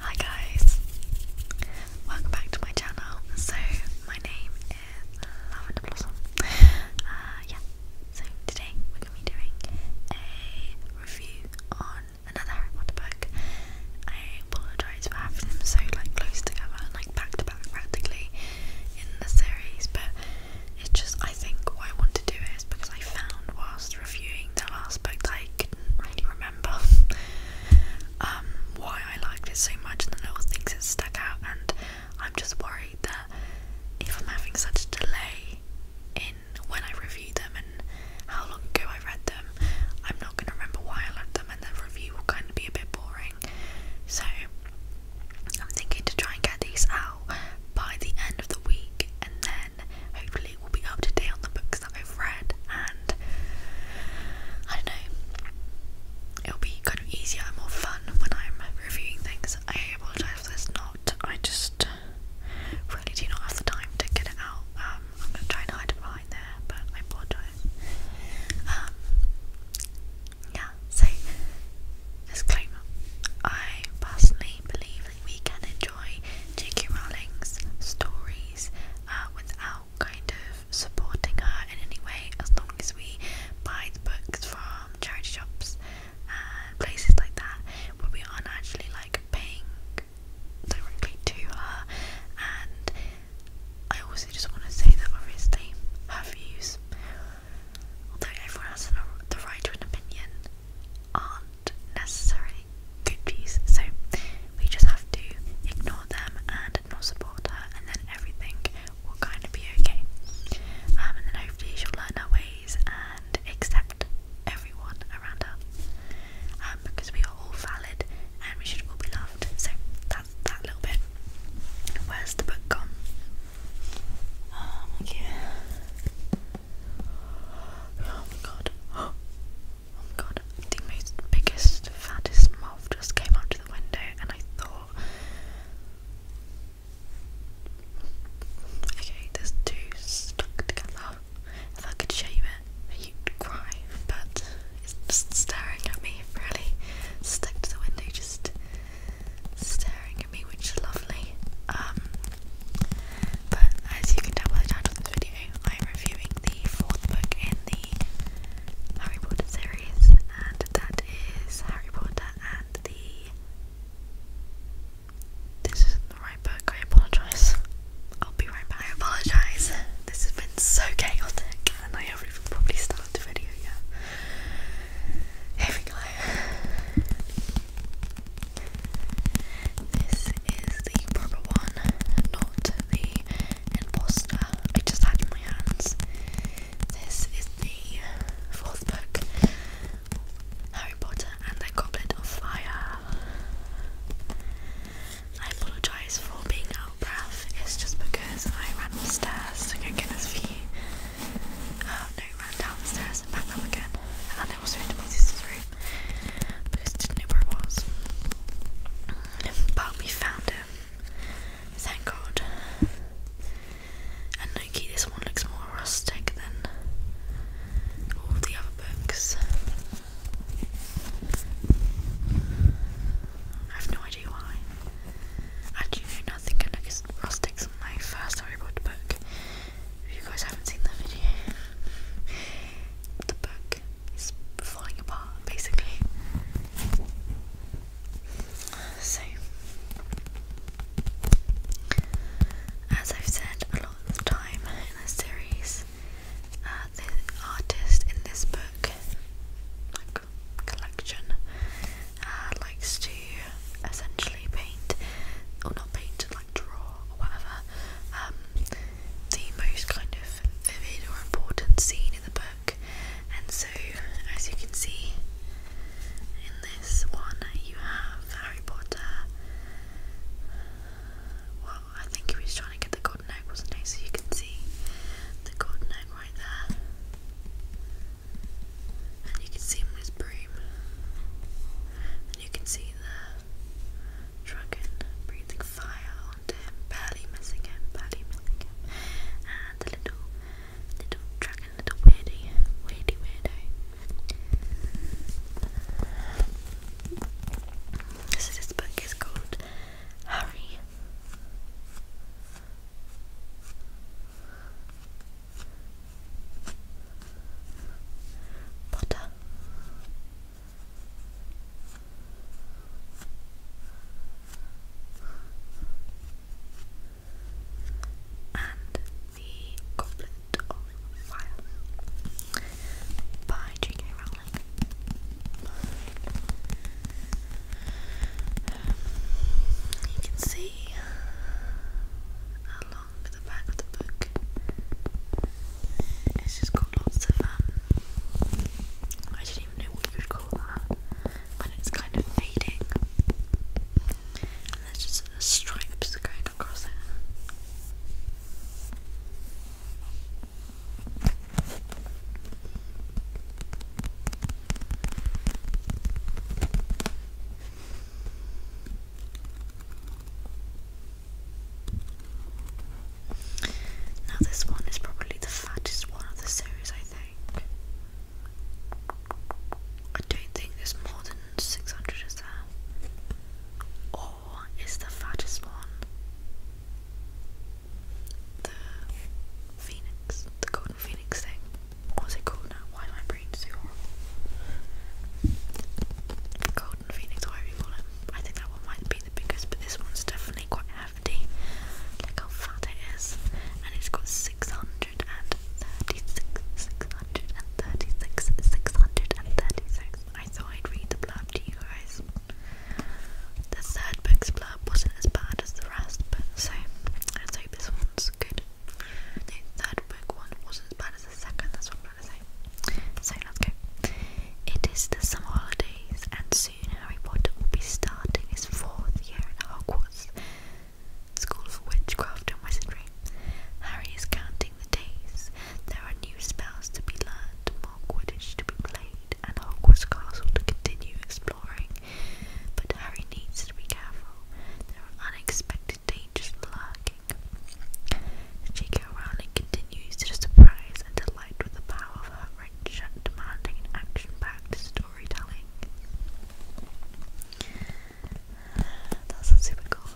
Hi guys, welcome back to my channel. So my name is Lavender Blossom. Uh, yeah, so today we're gonna be doing a review on another Harry I apologise for having them so like close together, like back to back practically in the series, but it's just I think what I want to do is because I found whilst Reviewing the last book, I couldn't really remember um, why I liked it so much and the little things that stuck out. And I'm just worried that if I'm having such a delay in when I review them and how long ago I read them, I'm not going to remember why I liked them, and the review will kind of be a bit boring. So I'm thinking to try and get these out by the end of the week and then hopefully we'll be up to date on the books that I've read and I don't know it'll be kind of easier more fun when I'm reviewing things. I apologise if there's not. I just really do not have the time to get it out. Um, I'm gonna try and hide it behind there, but I apologise. Um, yeah, so disclaimer. I personally believe that we can enjoy enjoy J.K. Rowling's stories uh, without kind of supporting her in any way, as long as we buy the books from charity shops and places like that, where we aren't actually like paying directly to her. And I also just want to say that obviously her views, although everyone has the right to an opinion, aren't necessarily Gucci's, so we just have to ignore them and not support her, and then everything will kind of be okay. Um, and then hopefully she'll learn her ways and accept everyone around her, um, because we are all valid and we should all be loved. So that's that little bit. Where's the book gone? Um, okay. Oh my god. Oh my god. The most biggest, fattest moth just came out to the window and I thought Okay, there's two stuck together. If I could shave it, you'd cry, but it's just staring at me, really. Stuck to the window, just staring which is lovely. Um, but as you can tell by the title of this video, I am reviewing the fourth book in the Harry Potter series, and that is Harry Potter and the. This isn't the right book, I apologise. I'll be right back. I apologise. This has been so chaotic and I have even probably started the video yet. Here this is the proper one, not the imposter. I just had in my hands. This is the fourth book, Harry Potter and the Goblet of Fire. I apologise for being out of breath. It's just because I ran upstairs to go for you. Uh, no, ran down and back up again. I also had my sister's room because I was. But we found him, thank God. And Loki, this one looks more rustic than all the other books. I have no idea why. Actually, no, nothing can look as rustic as my first Harry book. If you guys haven't seen the video, the book is falling apart basically. So, as I've said a lot of time in this series, uh, the artist in this book, like collection, uh, likes to essentially paint, or not paint, draw whatever. Um, the most kind of vivid or important scene in the book, and so as you can see in this one, you have Harry Potter. Well, I think he was trying to get the golden egg, wasn't he? So you can see the golden egg right there, and you can see him with his stream. And you can see the dragon breathing fire onto him, barely missing him, barely missing him. And the little, little dragon, little weirdy, weirdy weirdo. This book, it's called Harry butter. And the Goblet of Fire by J.K. Rowling. Um, you can see uh, a along the back of the book. It's just got lots of um, I don't even know what you would call that. When it's kind of fading. And there's just stripes going across it. Now, this one is probably the fattest one of the series, I think. I don't think there's more than 600 is there. Or is the fattest one the Phoenix, the Golden Phoenix thing? What was it called? why my brain's so horrible. Golden Phoenix, whatever you call it. I think that one might be the biggest, but this one's definitely quite hefty. Look how fat it is. And it's got 636, 636, 636. I thought I'd read the blurb to you guys. The third book's blurb wasn't as bad as the rest, but so let's hope this one's good. The third book one was as bad as the second, that's what I'm trying to say. So let's go. It is the summer holidays, and soon Harry Potter will be starting his fourth year at Hogwarts School of Witchcraft and Wizardry. Harry is counting the days. There are new spells to be learned, more Quidditch to be played, and Hogwarts Castle to continue exploring. But Harry needs to be careful. There are unexpected dangers lurking J.K. Rowling continues to surprise and delight with the power of her rich, demanding, action-packed storytelling. That's super cool.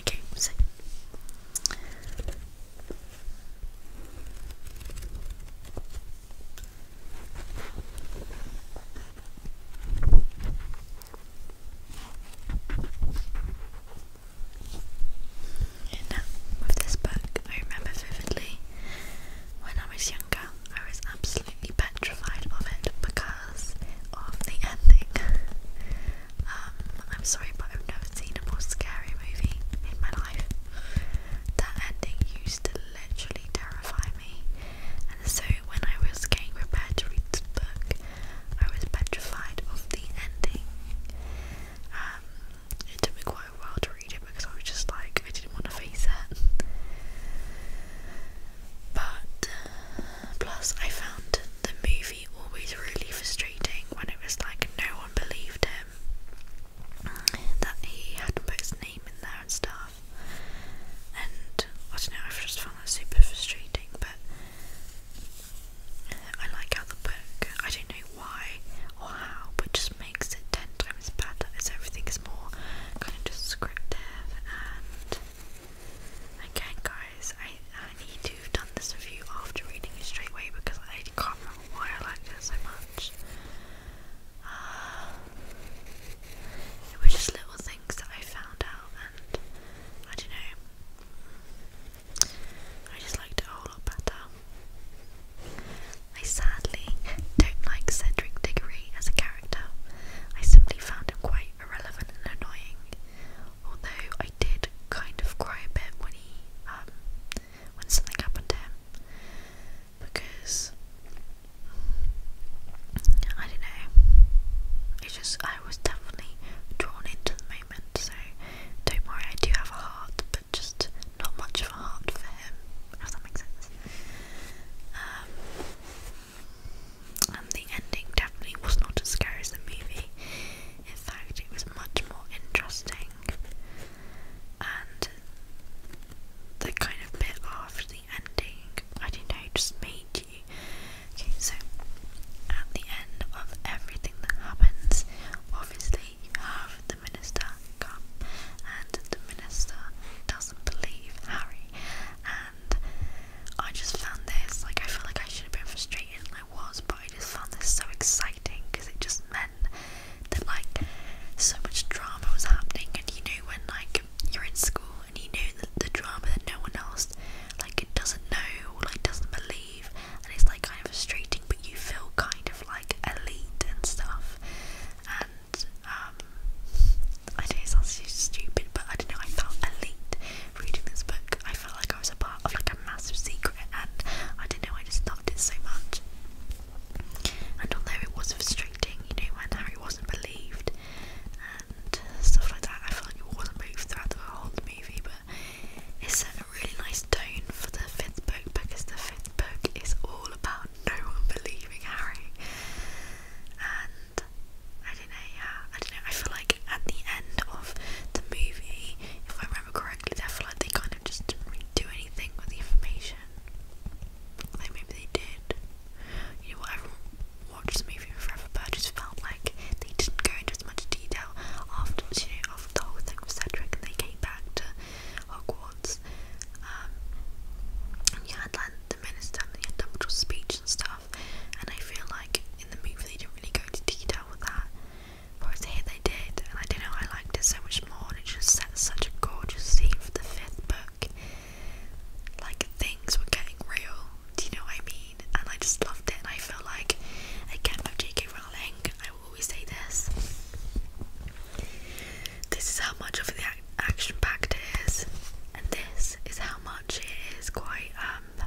Okay, so. And now, uh, with this book, I remember vividly when I was younger, I was absolutely petrified of it because of the ending. Um, I'm sorry, but I've never seen a more scary movie in my life. That ending used to literally terrify me, and so when I was getting prepared to read this book, I was petrified of the ending. Um, it took me quite a while to read it because I was just like, I didn't want to face it. But, plus, I found the movie always really frustrating when it was like no one believed him that he had to his name in there and stuff. And I don't know, I've just found that super frustrating, but I like how the book, I don't know why or how, but just makes it ten times better as everything is more kind of descriptive and again guys, I, I need to have done this review after reading it straight away because I can't remember why I liked it so much it was just little things that I found out, and I don't know. I just liked it a whole lot better. I sadly don't like Cedric Diggory as a character. I simply found him quite irrelevant and annoying. Although I did kind of cry a bit when he um, when something happened to him because mm, I don't know. It just I was definitely drawn into the moment, so don't worry, I do have a heart, but just not much of a heart for him, if that makes sense. Um, and the ending definitely was not as scary as the movie. In fact, it was much more interesting and the kind of bit after the ending, I don't know, just made you. Okay, so at the end of everything that happens, obviously you have the minister come, and the minister doesn't believe Harry. And I just found this like I feel like I should have been frustrated, I was, but I just found this so exciting because it just meant that like so much drama was happening and you knew when like you're in school and you knew that the drama that no one else like doesn't know or like doesn't believe and it's like kind of frustrating but you feel kind of like elite and stuff and um I know it sounds so stupid but I don't know I felt elite reading this book I felt like I was a part of like a massive secret and I don't know I just loved it so much and although it was frustrating, you know, when Harry wasn't believed and stuff like that, I felt like it wasn't moved throughout the whole movie, but it set a really nice tone for the fifth book because the fifth book is all about no one believing Harry. And I don't know, yeah, I don't know, I feel like at the end of the movie, if I'm remember correctly, I feel like they kind of just didn't really do anything with the information. Like maybe they did. You know what, everyone watched the movie forever, but I just felt like they didn't go into as much detail afterwards, you know, after the whole thing with Cedric and they came back to Hogwarts. Um, and you had like the minister and you had Dumbledore's speech and stuff, and I feel like in the movie they didn't really go into detail with that. But here they did, and I don't know, I liked it so much more, and it just set such a gorgeous scene for the fifth book. Like, things were getting real, do you know what I mean? And I just loved it, and I feel like, again, with JK Rowling, I will always say this. This is how much of the ac action packed it is, and this is how much it is quite um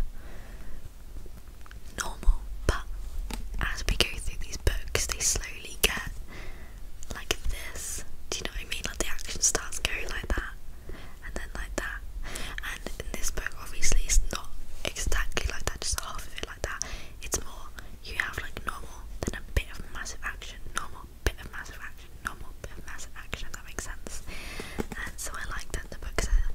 normal. But as we go through these books, they slow get like this. Do you know what I mean? Like the action starts going like that, and then like that. And in this book, obviously, it's not exactly like that. Just half of it like that. It's more you have like normal, then a bit of massive action, normal, bit of massive action, normal, bit of massive action. If that makes sense. And so I like that the books, are,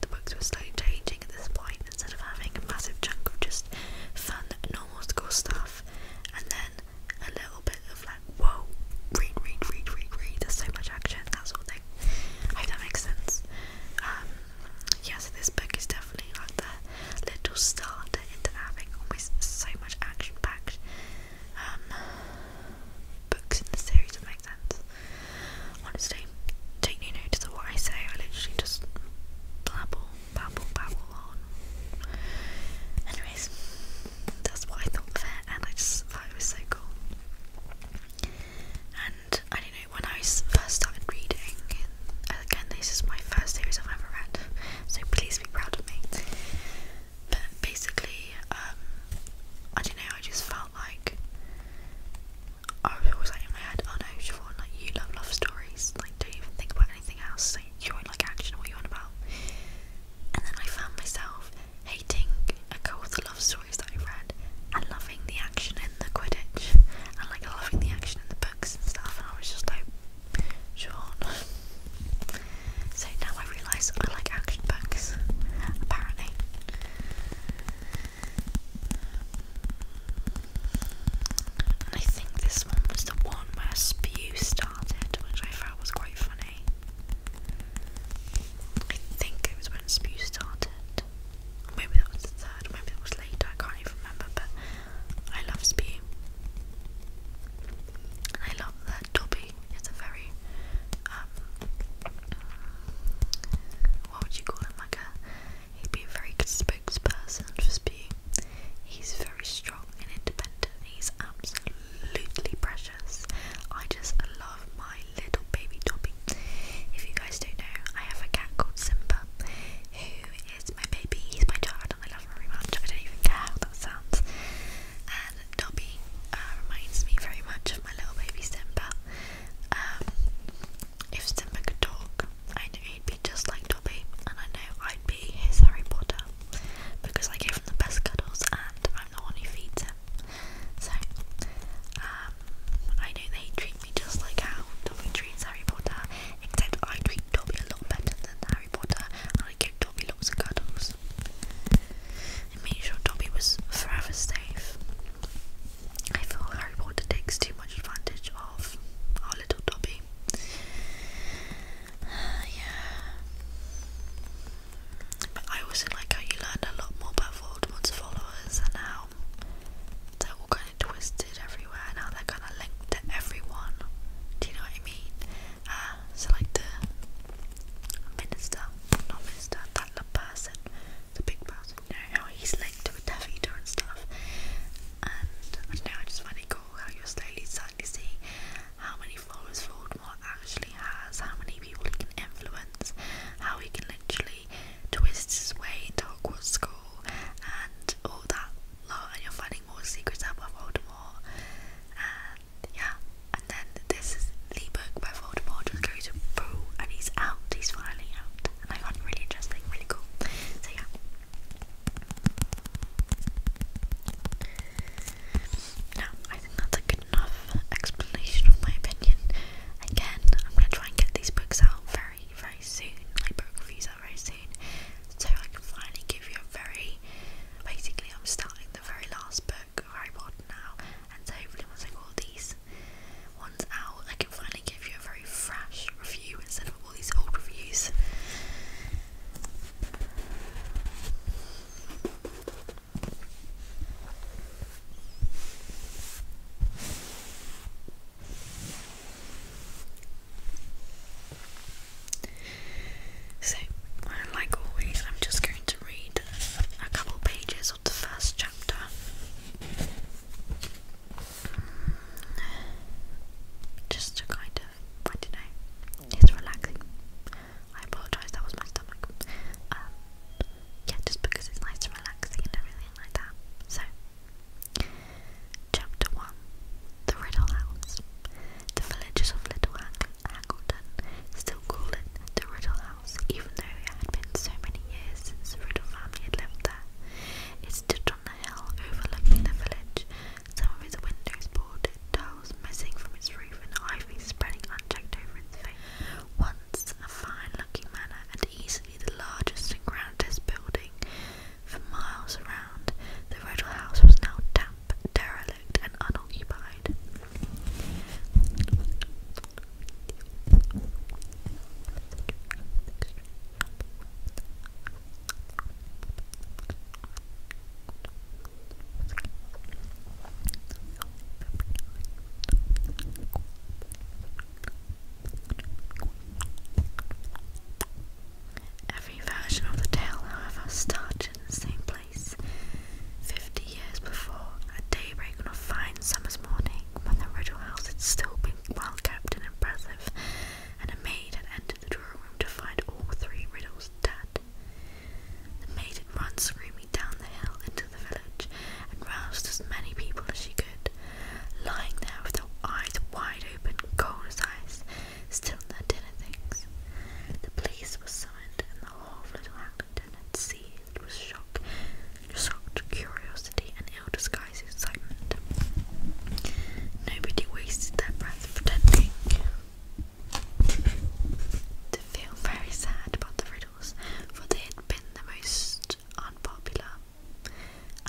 the books were slowly changing frustrating at this point instead of having a massive chunk of just fun, normal school stuff and then a little bit of like, whoa, read, read, read, read, read, there's so much action, that sort of thing. I hope that makes sense. Um, yeah, so this book is definitely like the little starter into having always so much action packed um, books in the series, that makes sense. Honestly, take no notice of what I say, I literally just blabble babble babble on. Anyways, that's what I thought of and I just thought it was so cool. And I don't know when I was first started reading. Again, this is my first series I've ever read, so please be proud of me. But basically, um, I don't know. I just felt like I was like in my head, oh no, Siobhan, like you love love stories, like don't even think about anything else, like you don't like action, what you want about. And then I found myself hating a couple of love stories that I read and loving the action in the Quidditch and like loving the action in the books and stuff and I was just like, Siobhan. So now I realise I like action books, apparently. And I think this one was the one where Spew started, which I found was quite funny. I think it was when Spew started. Maybe that was the third, maybe that was later, I can't even remember, but I love Spew. And I love that Dobby is a very, um, what would you call him, like a He'd be a very good spokesperson for Spew. He's very strong and independent. He's absolutely precious. I just love my little baby Dobby. If you guys don't know, I have a cat called Simba, who is my baby. He's my child, and I love him very much. I don't even care how that sounds. And Dobby uh, reminds me very much of my little baby Simba. Um, if Simba could talk, I knew he'd be just like Dobby, and I know I'd be his Harry Potter because I gave him the best cuddles, and I'm the one who feeds him. So, um, I know they treat me just like how Dobby treats Harry Potter, except I treat Dobby a lot better than Harry Potter, and I give Dobby lots of cuddles. It made sure Dobby was forever safe. I feel Harry Potter takes too much advantage of our little Dobby. yeah. But I also like how you learned a lot more about Voldemort's followers and how they're all kind of twisted everywhere and they're kind of linked to everyone. Do you know what I mean? Uh, so, like the minister, not minister, that person, the big person, you know, how he's linked to a and stuff and I know, I just cool how you're slowly starting to how many followers Voldemort actually has, how many people he can influence, how he can literally twist his way into Hogwarts School and all that lot, and you're finding more secrets out about Voldemort, and yeah, and then this is the book by Voldemort, just goes to and he's out, he's finally out, and I find really interesting, really cool, so yeah. Now, I think that's a good enough explanation of my opinion. Again, I'm going to try and get these books out very, very soon, like book reviews out very soon, so I can finally give you a very. Basically, I'm starting the very last book of Harry now, and so hopefully, once I got these, one's out, I can finally give you a very fresh review instead of all these old reviews. So, like always, I'm just going to read a couple pages of the first chapter just to kind of, I don't know, it's relaxing. I apologise, that was my stomach. Um, yeah, just because it's nice and relaxing and everything like that. So, chapter 1 The Riddle House. The villagers of Little Haggleton still call it the Riddle House, even though it had been so many years since the Riddle family had lived there stood on a hill overlooking the village, some of its windows boarded, tiles missing from its roof, and ivy spreading unchecked over its face. Once a fine-looking manor, and easily the largest and grandest building for miles around, the Riddle House was now damp, derelict, and unoccupied. Every version of the tale, however, started in the same place. Fifty years before, at daybreak on a fine summer's morning, when the original House had still been well kept and impressive, and a maid had entered the drawing room to find all three riddles dead. The maid had run screaming down the hill into the village and roused as many people as she could, lying there with their eyes wide open, cold as ice, still in their dinner things. The police were summoned, and the whole of Little Hackleton had seized with shock shocked curiosity and ill-disguised excitement. Nobody wasted their breath pretending to feel very sad about the riddles, for they had been the most unpopular.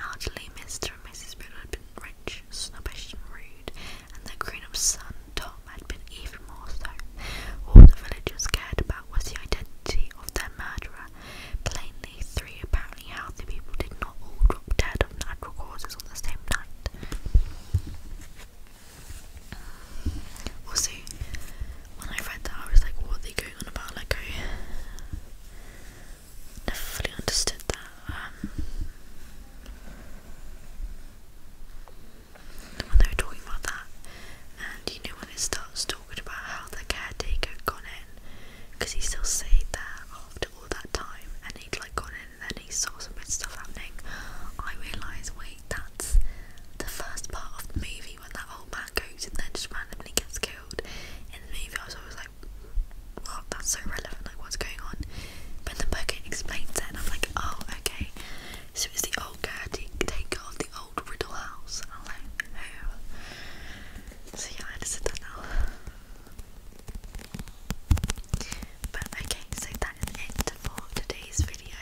Elderly Mr. and Mrs. Riddle had been rich, snobbish, and rude, and their grown-up son, Tom, had been even more so. All the villagers cared about was the identity of their murderer, Plainly, three apparently healthy people did not all drop dead of natural causes on the same night. Also, when I read that, I was like, what are they going on about? Like, I never fully understood that. Um, when they were talking about that, and you know, when it starts talking about how the caretaker gone in because he still stayed there after all that time and he'd like gone in and then he saw some good stuff happening. I realised, wait, that's the first part of the movie when that old man goes and then just randomly gets killed. In the movie, I was like, wow, that's so relevant, like, what's going on? But in the book, it explains it, and I'm like, oh, okay. So it's the old caretaker of the old Riddle house. I'm like, oh. So yeah, understood now. But okay, so that is it for today's video.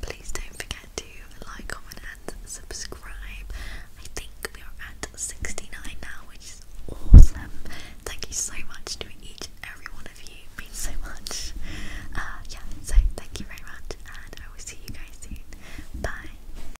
Please don't forget to like, comment, and subscribe. I think we are at 69 now, which is awesome. Thank you so much to each and every one of you. means so much. Uh, yeah, so thank you very much, and I will see you guys soon. Bye.